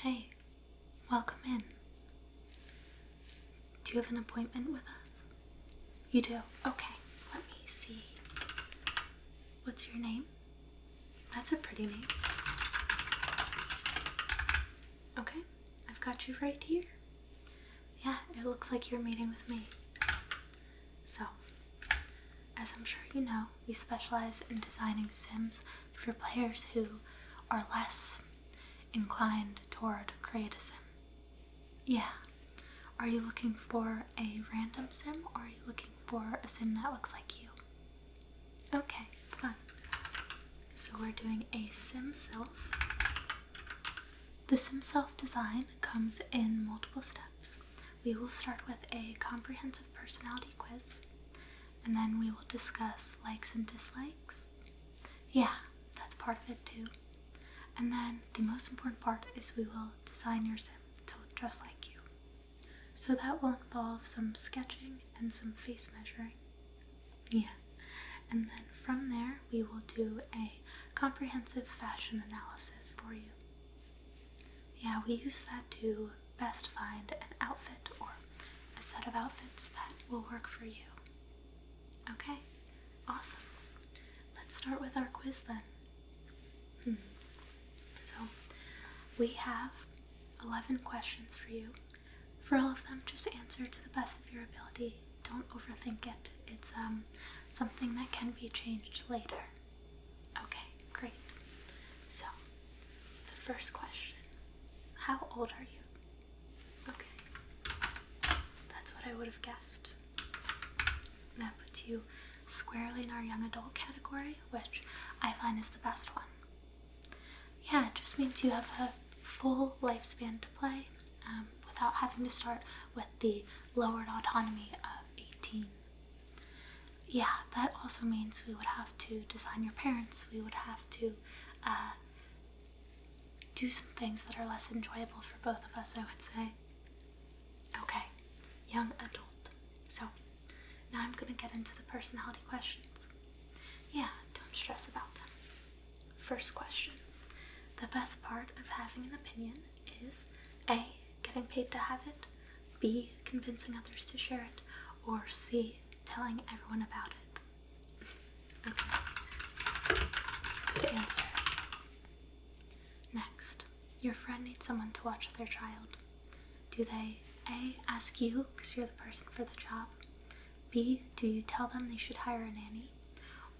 Hey, welcome in. Do you have an appointment with us? You do? Okay, let me see. What's your name? That's a pretty name. Okay, I've got you right here. Yeah, it looks like you're meeting with me. So, as I'm sure you know, we specialize in designing sims for players who are less inclined toward create Yeah. Are you looking for a random sim or are you looking for a sim that looks like you? Okay, fun. So we're doing a sim self. The sim self design comes in multiple steps. We will start with a comprehensive personality quiz, and then we will discuss likes and dislikes. Yeah, that's part of it too. And then the most important part is we will design your sim to look just like you. So that will involve some sketching and some face measuring. Yeah. And then from there, we will do a comprehensive fashion analysis for you. Yeah, we use that to best find an outfit or a set of outfits that will work for you. Okay, awesome. Let's start with our quiz then. Hmm. So, we have 11 questions for you. For all of them, just answer to the best of your ability. Don't overthink it. It's um, something that can be changed later. Okay, great. So, the first question How old are you? Okay, that's what I would have guessed. That puts you squarely in our young adult category, which I find is the best one. Yeah, it just means you have a full lifespan to play um, without having to start with the lowered autonomy of 18 yeah, that also means we would have to design your parents. We would have to uh, do some things that are less enjoyable for both of us, I would say. Okay, young adult. So now I'm going to get into the personality questions. Yeah, don't stress about them. First question The best part of having an opinion is A. Getting paid to have it, B. Convincing others to share it, or C. Telling everyone about it. okay. answer. Next, your friend needs someone to watch their child. Do they A. Ask you because you're the person for the job? B. Do you tell them they should hire a nanny?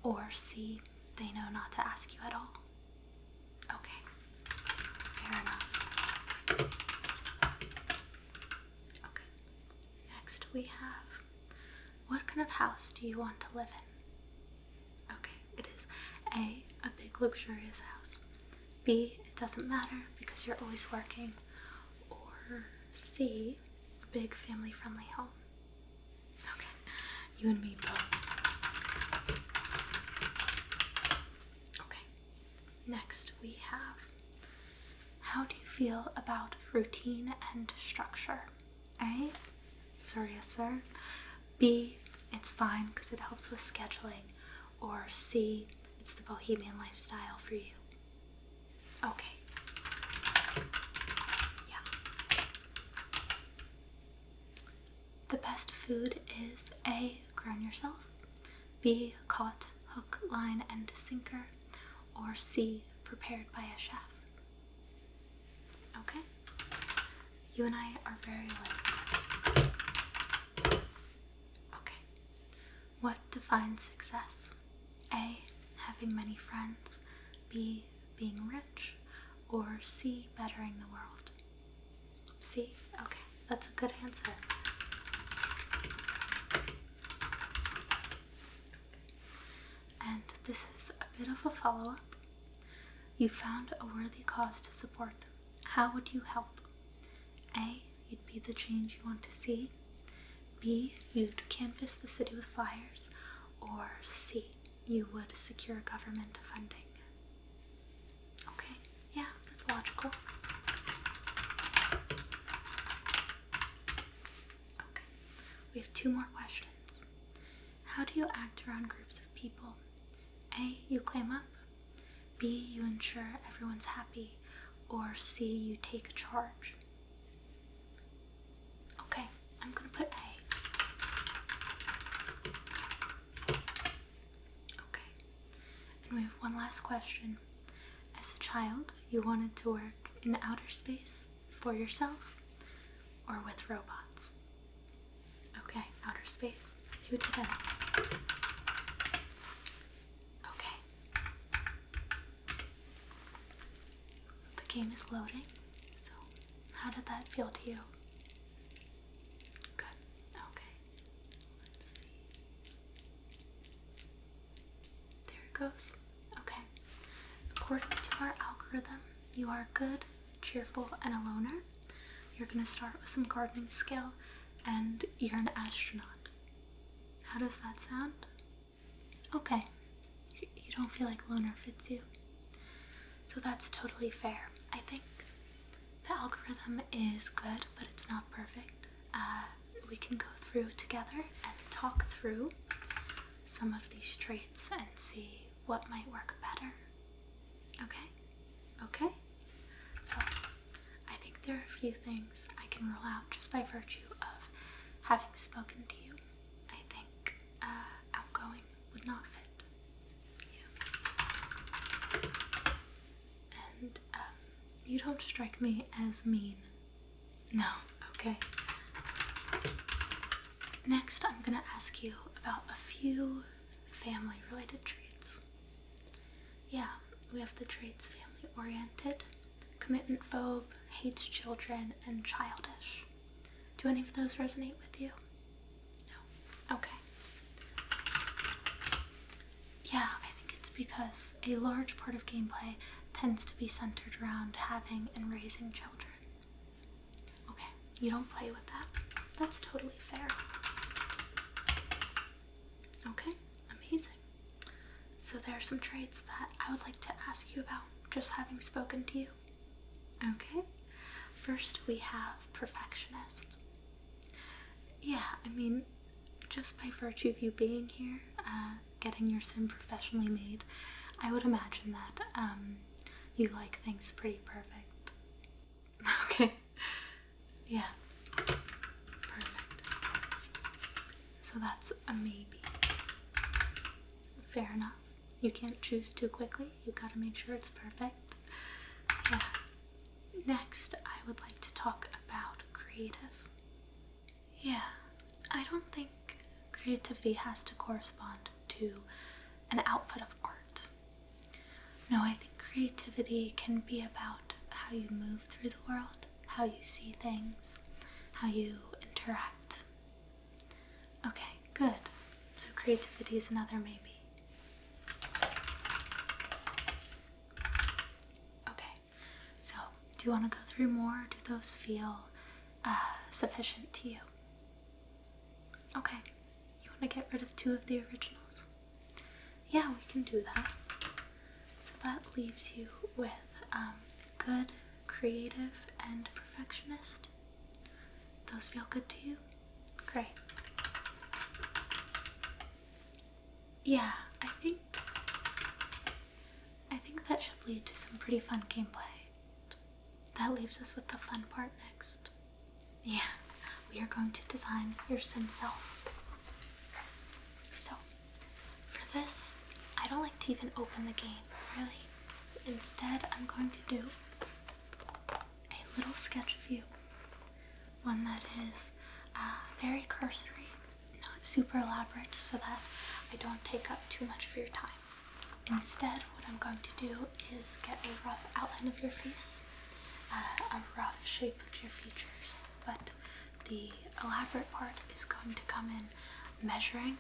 Or C. They know not to ask you at all. Okay. Fair enough. Okay. Next we have what kind of house do you want to live in? Okay, it is A, a big luxurious house. B, it doesn't matter because you're always working. Or C, a big family friendly home. Okay, you and me both. Okay, next we have How do you feel about routine and structure? A. Sorry, yes, sir. B. It's fine because it helps with scheduling. Or C. It's the bohemian lifestyle for you. Okay. Yeah the best food is A, grown yourself, B, caught hook, line, and sinker, or C, prepared by a chef. Okay? You and I are very alike. Okay. What defines success? A, having many friends, B, being rich, or C, bettering the world. See? Okay, that's a good answer. And this is a bit of a follow up. You found a worthy cause to support. How would you help? A. You'd be the change you want to see. B. You'd canvass the city with flyers. Or C you would secure government funding. Okay, yeah, that's logical. Okay, we have two more questions. How do you act around groups of people? A. You clam up. B. You ensure everyone's happy. Or C. You take charge. Okay, I'm gonna put A. Okay. And we have one last question. As a child, you wanted to work in outer space for yourself or with robots? Okay, outer space. Who did that? Okay. The game is loading. So, how did that feel to you? Good. Okay. Let's see. There it goes. Okay. According to our algorithm, you are good, cheerful, and a loner. You're gonna start with some gardening skill, and you're an astronaut. How does that sound? Okay. You don't feel like loner fits you. So that's totally fair. I think the algorithm is good, but it's not perfect. Uh, we can go through together and talk through some of these traits and see what might work better. Okay? Okay? So, I think there are a few things I can rule out just by virtue of having spoken to you. I think uh, outgoing would not fit you. And um, you don't strike me as mean. No, okay. Next, I'm gonna ask you about a few family related traits. Yeah, we have the traits family oriented, commitment phobe, hates children, and childish. Do any of those resonate with you? No. Okay. Yeah, I think it's because a large part of gameplay tends to be centered around having and raising children. Okay, you don't play with that. That's totally fair. Okay, amazing. So, there are some traits that I would like to ask you about just having spoken to you. Okay, first we have perfectionist. Yeah, I mean, just by virtue of you being here, uh, getting your sim professionally made, I would imagine that um, you like things pretty perfect. Okay, yeah, perfect. So that's a maybe. Fair enough. You can't choose too quickly you gotta make sure it's perfect. Yeah. Next, I would like to talk about creative. Yeah, I don't think creativity has to correspond to an output of art. No, I think creativity can be about how you move through the world, how you see things, how you interact. Okay, good. So creativity is another maybe. Okay, so do you want to go through more? Do those feel uh, sufficient to you? Okay, you want to get rid of two of the originals? Yeah, we can do that. So that leaves you with um, good, creative, and perfectionist. Those feel good to you? Great. Yeah, I think I think that should lead to some pretty fun gameplay. That leaves us with the fun part next. Yeah, we are going to design your sim self. So, for this, I don't like to even open the game, really. Instead, I'm going to do a little sketch of you. One that is uh, very cursory, not super elaborate, so that I don't take up too much of your time. Instead, what I'm going to do is get a rough outline of your face, uh, a rough shape of your features, but the elaborate part is going to come in measuring.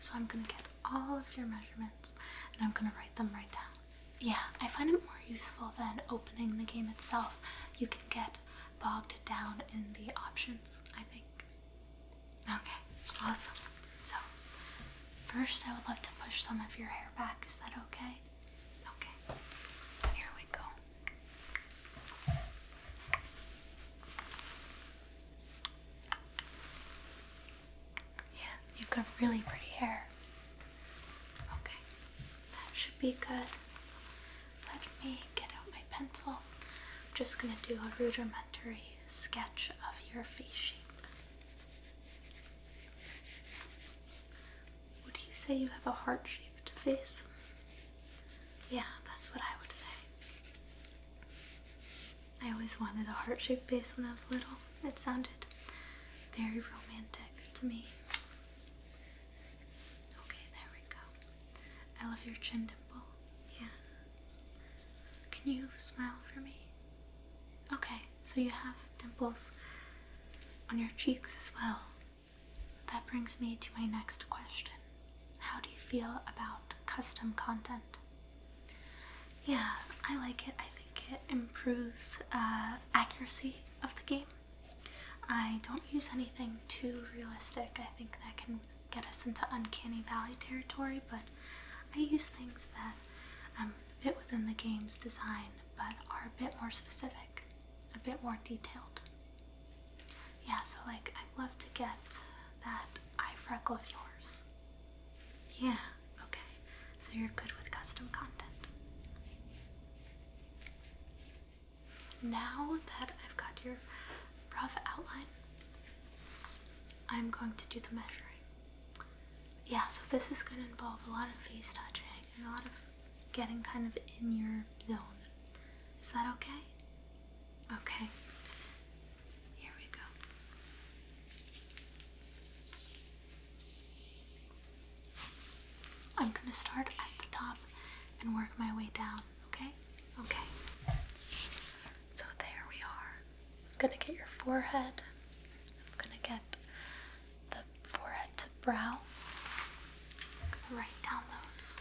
So I'm going to get all of your measurements and I'm going to write them right down yeah, I find it more useful than opening the game itself. You can get bogged down in the options, I think. Okay, awesome. So, first I would love to push some of your hair back. Is that okay? Okay, here we go. Yeah, you've got really pretty hair. Okay, that should be good. Let me get out my pencil. I'm just going to do a rudimentary sketch of your face shape. Would you say you have a heart shaped face? Yeah, that's what I would say. I always wanted a heart shaped face when I was little. It sounded very romantic to me. Okay, there we go. I love your chin dimple. Yeah. Can you smile for me? Okay, so you have dimples on your cheeks as well. That brings me to my next question. How do you feel about custom content? Yeah, I like it. I think it improves uh, accuracy of the game. I don't use anything too realistic. I think that can get us into uncanny valley territory, but I use things that a um, bit within the game's design but are a bit more specific, a bit more detailed. Yeah, so like I'd love to get that eye freckle of yours. Yeah okay. So you're good with custom content. Now that I've got your rough outline, I'm going to do the measuring. Yeah, so this is going to involve a lot of face touching and a lot of getting kind of in your zone. Is that okay? Okay. Here we go. I'm gonna start at the top and work my way down, okay? Okay. So there we are. gonna get your forehead. I'm gonna get the forehead to brow. gonna write down those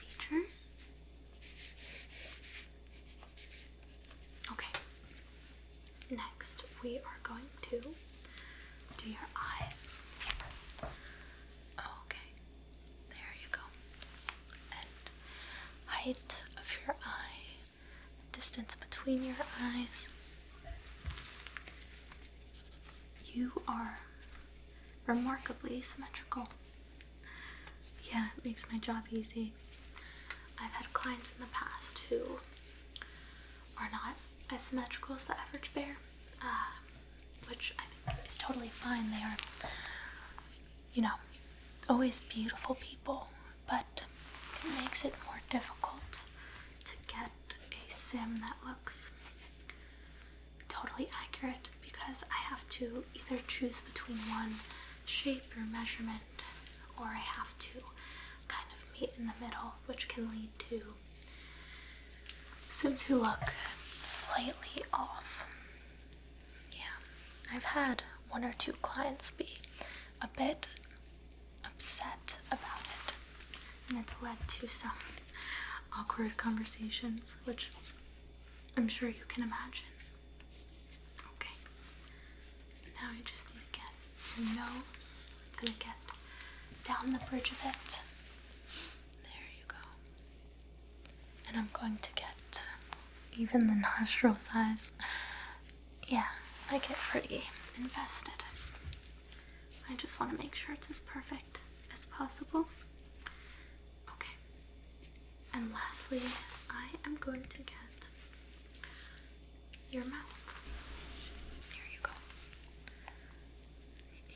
features. Okay, Next, we are going to do your eyes. Okay, there you go. height of your eye, distance between your eyes. You are remarkably symmetrical. Yeah, it makes my job easy. I've had clients in the past who are not as symmetrical as the average bear, uh, which I think is totally fine. They are, you know, always beautiful people, but it makes it more difficult to get a sim that looks totally accurate because I have to either choose between one shape or measurement or I have to kind of meet in the middle, which can lead to Sims who look slightly off. Yeah, I've had one or two clients be a bit upset about it, and it's led to some awkward conversations, which I'm sure you can imagine. Okay, now you just need to get the nose. gonna get down the bridge of it. There you go. And I'm going to get even the nostril size. Yeah, I get pretty invested. I just want to make sure it's as perfect as possible. Okay. And lastly, I am going to get your mouth. There you go.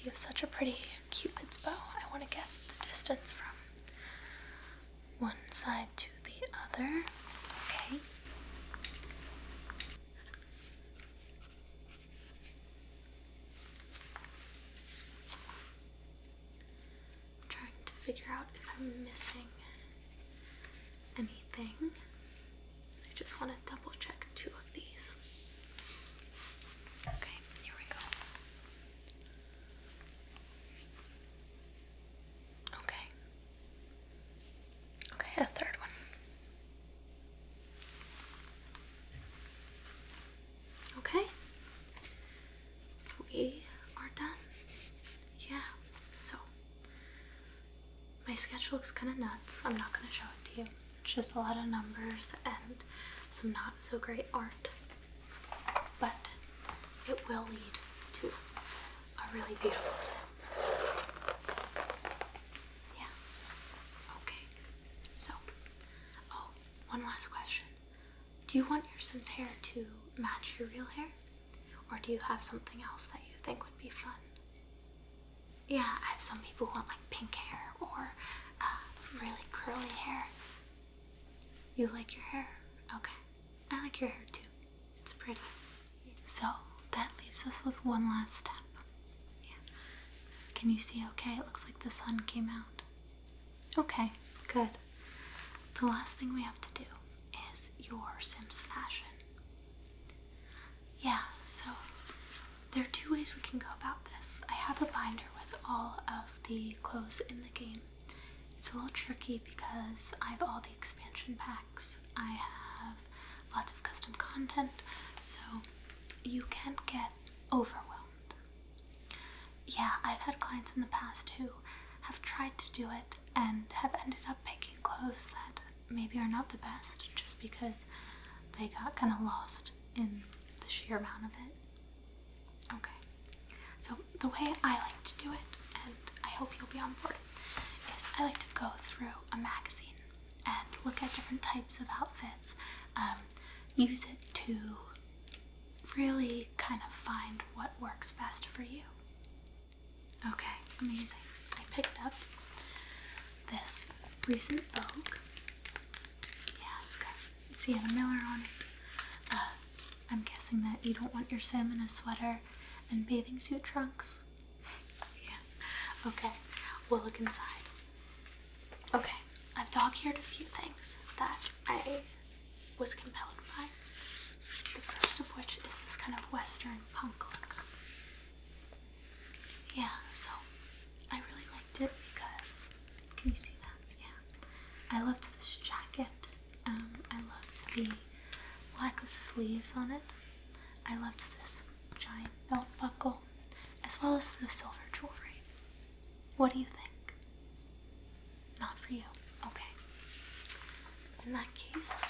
You have such a pretty cupid's bow. I want to get the distance from one side to the other. Okay. trying to figure out if I'm missing anything. I just want to double check two of these. Okay, here we go. Okay. Okay, a third one. Okay. We are done. Yeah. So my sketch looks kind of nuts. I'm not going to show it to you. It's just a lot of numbers and some not so great art. But it will lead to a really beautiful sim. Yeah. Okay. So, oh, one last question. Do you want your sim's hair to match your real hair? Or do you have something else that you think would be fun? Yeah, I have some people who want like pink hair or uh, really curly hair. You like your hair? Okay. I like your hair too. It's pretty. So that leaves us with one last step. Yeah. Can you see okay? It looks like the sun came out. Okay, good. The last thing we have to do is your Sims fashion. Yeah, so there are two ways we can go about this. I have a binder with all of the clothes in the game. It's a little tricky because I have all the expansion packs, I have lots of custom content, so you can get overwhelmed. Yeah, I've had clients in the past who have tried to do it and have ended up picking clothes that maybe are not the best just because they got kind of lost in the sheer amount of it. Okay, so the way I like to do it, and I hope you'll be on board, is I like to go through a magazine and look at different types of outfits, um, use it to really kind of find what works best for you. Okay, amazing. I picked up this recent Vogue. Yeah, it's has got Sienna Miller on it. Uh, I'm guessing that you don't want your sim in a sweater and bathing suit trunks. yeah. Okay, we'll look inside. Okay, I've dog eared a few things that I was compelled by. The first of which is this kind of western punk look yeah, so I really liked it because can you see that? Yeah, I loved this jacket. Um, I loved the lack of sleeves on it. I loved this giant belt buckle, as well as the silver jewelry. What do you think? Not for you. Okay. In that case,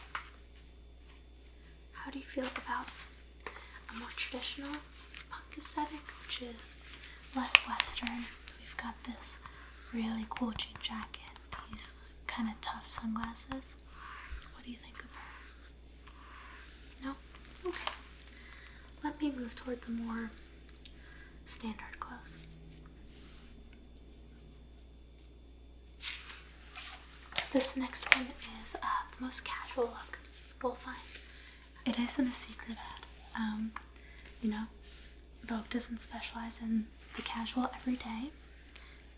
how do you feel about a more traditional punk aesthetic, which is less Western? We've got this really cool jean jacket, these kind of tough sunglasses. What do you think of her? No? Okay. Let me move toward the more standard clothes. So this next one is uh, the most casual look we'll find. It isn't a secret ad. Um, you know, Vogue doesn't specialize in the casual everyday.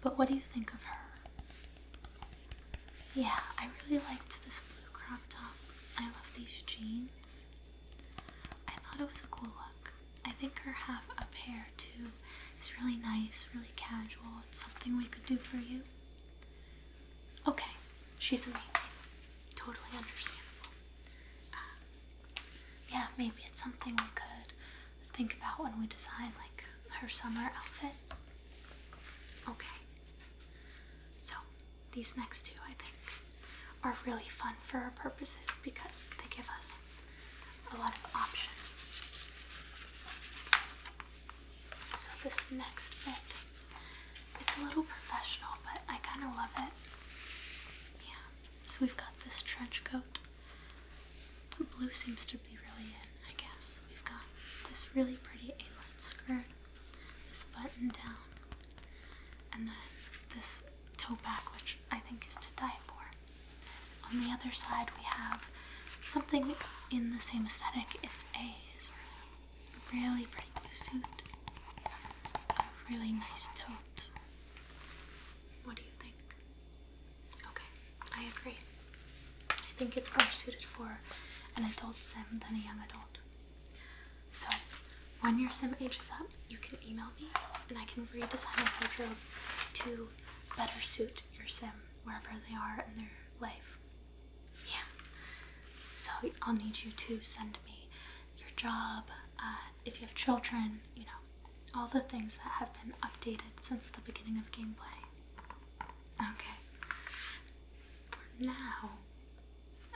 But what do you think of her? Yeah, I really liked this blue crop top. I love these jeans. I thought it was a cool look. I think her half up hair too it's really nice, really casual. It's something we could do for you. Okay, she's amazing. Totally understandable. Um, yeah, maybe it's something we could think about when we design like her summer outfit. Okay. So, these next two, I think, are really fun for our purposes because they give us a lot of options. So this next bit, it's a little professional, but I kind of love it. Yeah. So we've got this trench coat. Blue seems to be really in, I guess. We've got this really pretty A-line skirt, this button down, and then this toe back, which I think is to die for on the other side we have something in the same aesthetic. It's a really pretty blue suit, a really nice tote. What do you think? Okay, I agree. I think it's more suited for an adult sim than a young adult. So, when your sim ages up, you can email me and I can redesign your wardrobe to better suit your sim wherever they are in their life. Yeah. So I'll need you to send me your job, uh, if you have children, you know, all the things that have been updated since the beginning of gameplay. Okay. For now,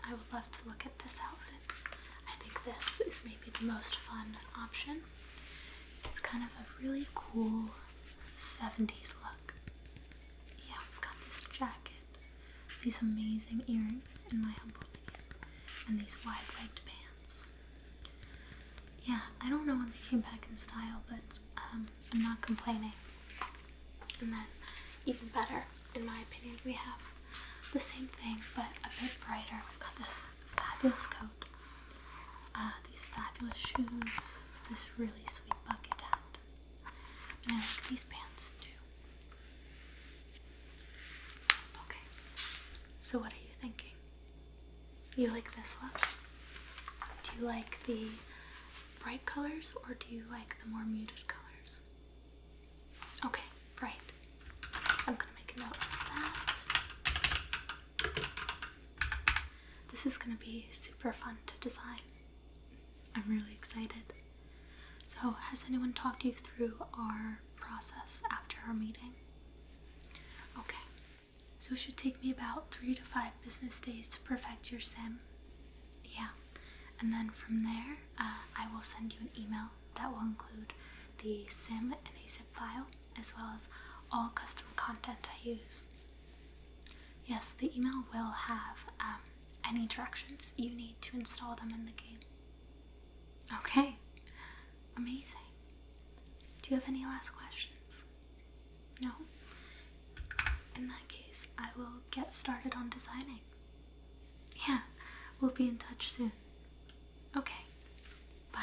I would love to look at this outfit. I think this is maybe the most fun option. It's kind of a really cool 70s look. Yeah, we have got this jacket, these amazing earrings, in my humble opinion, and these wide legged pants. Yeah, I don't know when they came back in style, but um, I'm not complaining. And then, even better, in my opinion, we have the same thing but a bit brighter. We've got this fabulous coat uh, these fabulous shoes, this really sweet bucket hat, and these pants too. Okay, so what are you thinking? You like this look? Do you like the bright colors or do you like the more muted colors? Okay, bright. I'm gonna make a note of that. This is going to be super fun to design. I'm really excited. So, has anyone talked you through our process after our meeting? Okay, so it should take me about three to five business days to perfect your sim. Yeah, and then from there, uh, I will send you an email that will include the sim in a zip file as well as all custom content I use. Yes, the email will have um, any directions you need to install them in the game. Okay, amazing. Do you have any last questions? No? In that case, I will get started on designing. Yeah, we'll be in touch soon. Okay, bye.